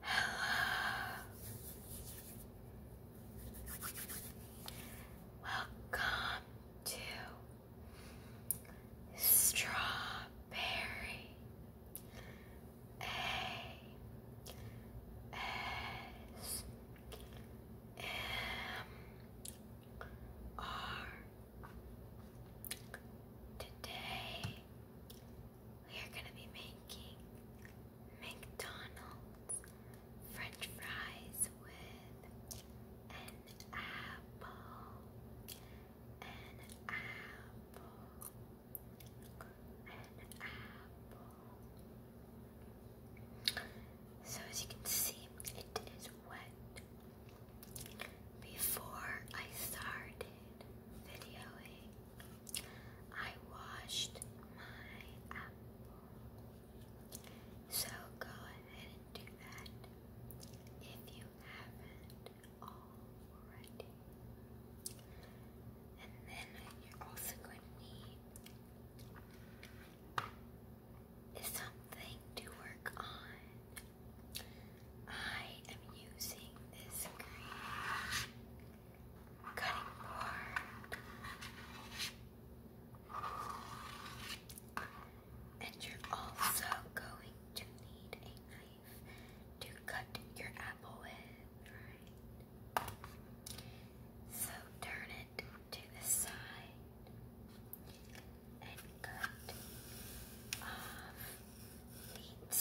Hello. Welcome to Strawberry A S M R. Today we are going to be making McDonald's French fries with an apple. An apple. An apple. So, as you can see, it is wet. Before I started videoing, I washed my apple. So go ahead and do that if you haven't already. And then you're also going to need something to work on. I am using this green cutting board. And you're also going to need a knife to cut your apple with, right? So turn it to the side and cut off the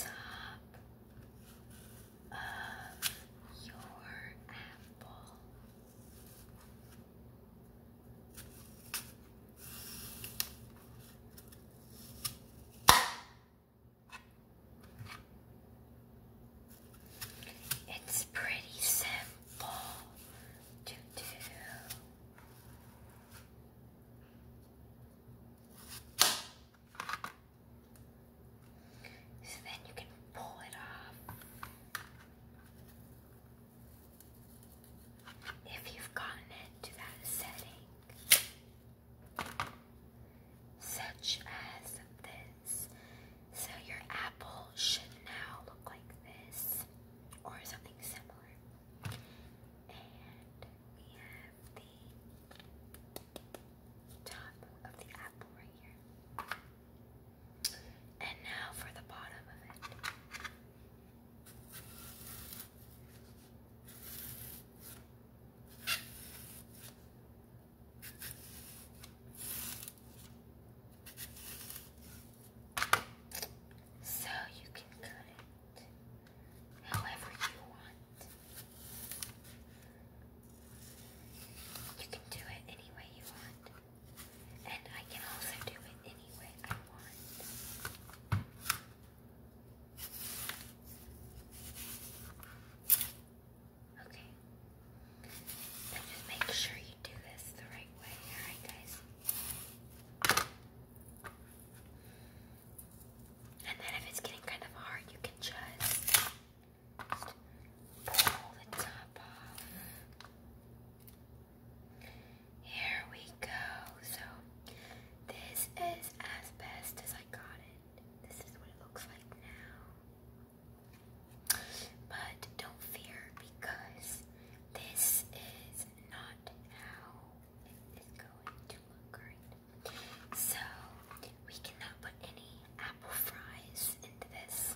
top of your apple. It's pretty simple to do. So then you can pull it off. If you've gotten it that setting, such as this. So your apple should now look like this, or something similar. And we have have the top of the apple right here. And now for the bottom of it. So you can cut it however you want. You can do it any way you want. And I can also do it any way I want. Okay. just make sure you do this the right way, alright guys? And then if it's getting kind of hard, you can just pull the top off. Here we go. So this is as best as I got it. This is what it looks like now. But don't fear because this is not how it is going to look right so we cannot put any apple fries into this.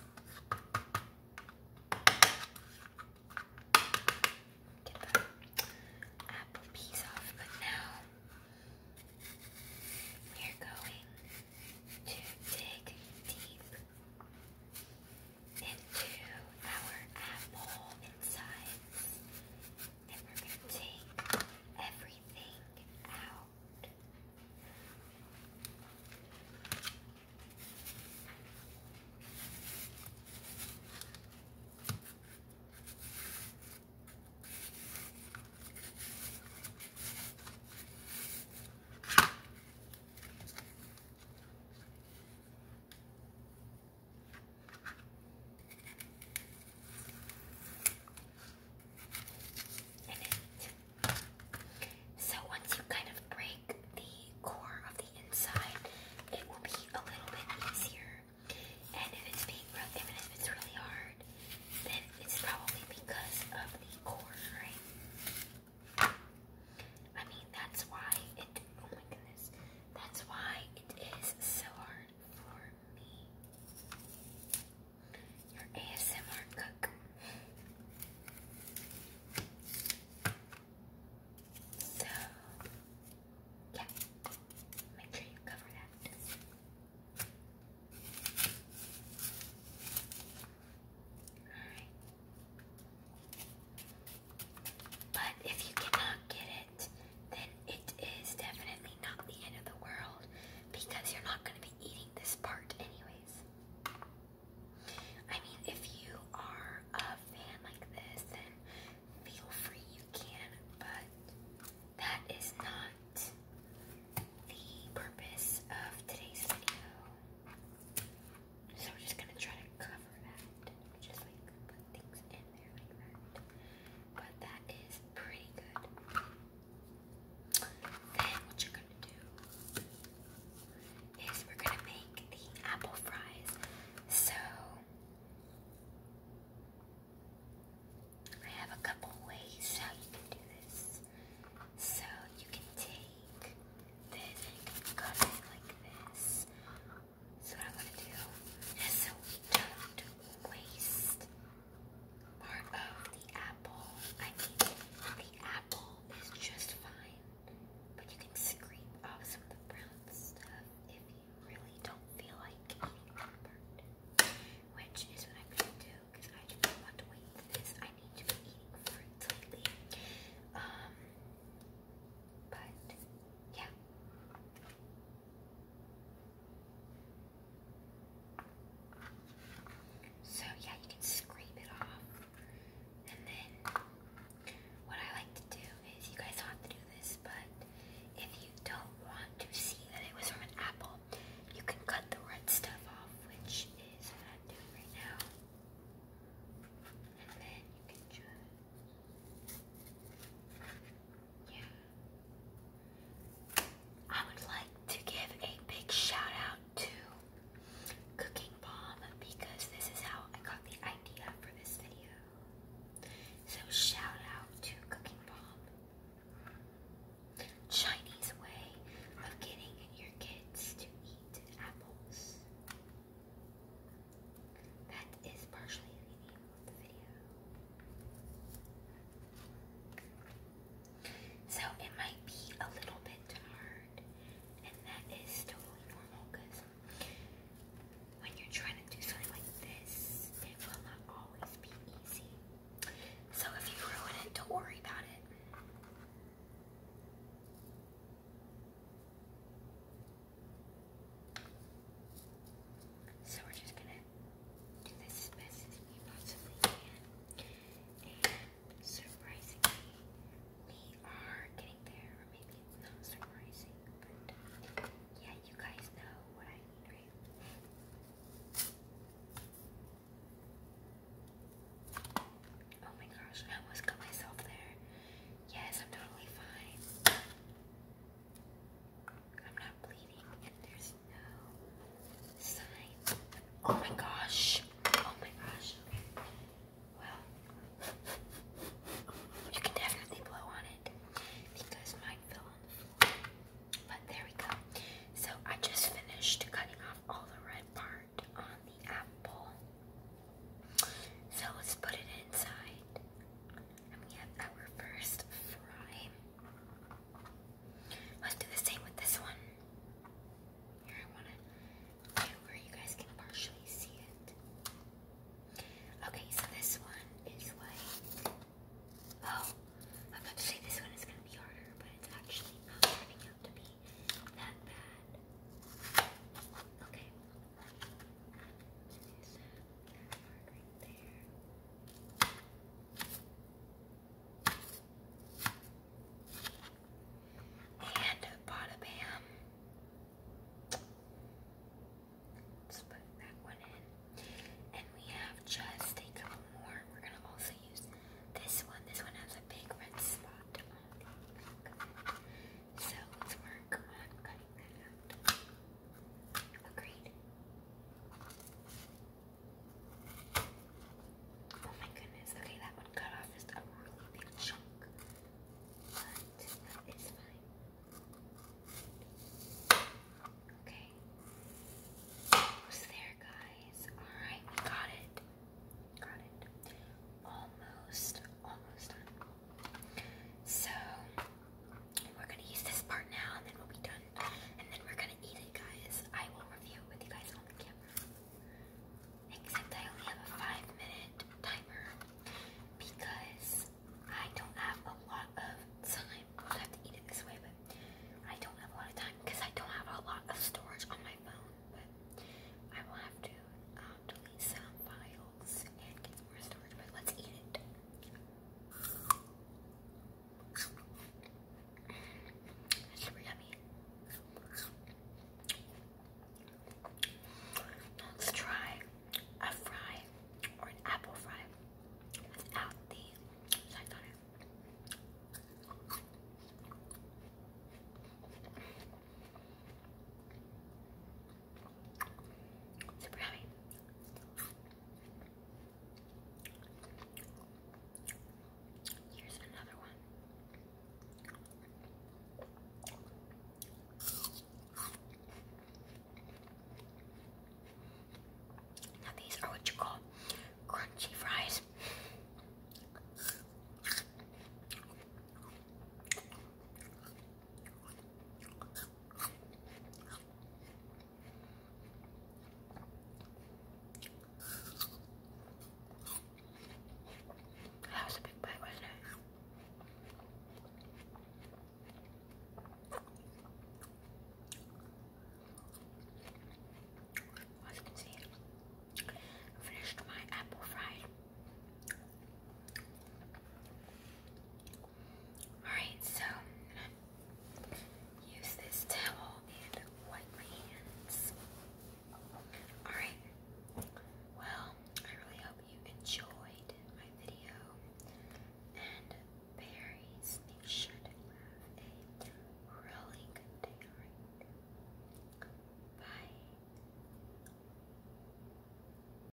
Get the apple piece off, but now we're going to dig deep into our apple insides then we're going to take everything out it. So once you kind of break the core of the inside, it will be a little bit easier. And if it's being re if it's really hard, then it's probably because of the core, right? I mean, that's why it. Oh my goodness, that's why it is so hard word for me. Your ASMR cook. So, yeah, make sure you cover that. But if you cannot get it, then it is definitely not the end of the world because you're not going to be eating this part anyways. I mean, if you are a fan like this, then feel free you can, but that is not the purpose of today's video. So we're just going to try to cover that, just like put things in. But that is pretty good. Then what you're gonna do is we're gonna make the apple fries. So I have a couple ways how you can do this. So you can take this and cut it like this. So I'm gonna do is so we don't waste part of the apple. I mean, the apple is just fine, but you can scrape off some of the brown stuff if you really don't feel like eating part. Which is what I'm gonna do because I do not want to wait for this. I need to be eating fruit lately. Um, but yeah. So, yeah, you can scrape it off. And then, what I like to do is you guys have to do this, but if you don't want to see that it was from an apple, you can cut the red stuff off, which is what I'm doing right now. And then you can just. I would like to give a big shout out to Cooking Bomb because this is how I got the idea for this video. So shout out to Cooking Bomb. Chinese way of getting your kids to eat apples. That is partially the name of the video. So it might be a little bit hard, and that is totally normal because when you're trying to do something like this, it will not always be easy. So if you ruin it, don't worry about it. So we're just gonna do this best as we possibly can. And surprisingly, we are getting there, or maybe it's not surprising, but yeah, you guys know what I mean, right? Oh my gosh, I almost cut myself there. Yes, I'm totally fine. Oh my gosh! Oh my gosh! Okay. Well, you can definitely blow on it because mine fell on the floor. But there we go. So I just finished cutting off all the red part on the apple. So let's put it inside and we have our first fry. Let's do the same with this one. Here, I want to do where you guys can partially see it. Okay, so this one is like, oh, I'm about to say this one is going to be harder, but it's actually not turning out to be that bad. Okay mark right there. And bada Let's put that one in. And we have just a couple more. We're going to also use this one. This one has a big red spot so let's work on cutting that out. Agreed. Oh my goodness, okay, that one cut off just a really big chunk. But that is fine. Okay. Almost there, guys. Alright, got it. Got it. Almost, almost done. So we're gonna use this part now, and then we'll be done. And then we're gonna eat it, guys. I will review it with you guys on the camera. Except I only have a five-minute timer because I don't have a lot of time. I have to eat it this way, but I don't have a lot of time because I don't have a lot of storage on my phone. But I will have to um, delete some files and gets more storage, but let's eat try a fry or an apple fry without the sides on it. Here's another one. Now these are what you call crunchy fries. That was a big bite, wasn't it? As you can see, finished my apple fried. Alright, so use this towel and wipe my hands. Alright, well, I really hope you enjoyed my video. And berries, make sure have a really good day, alright? Bye.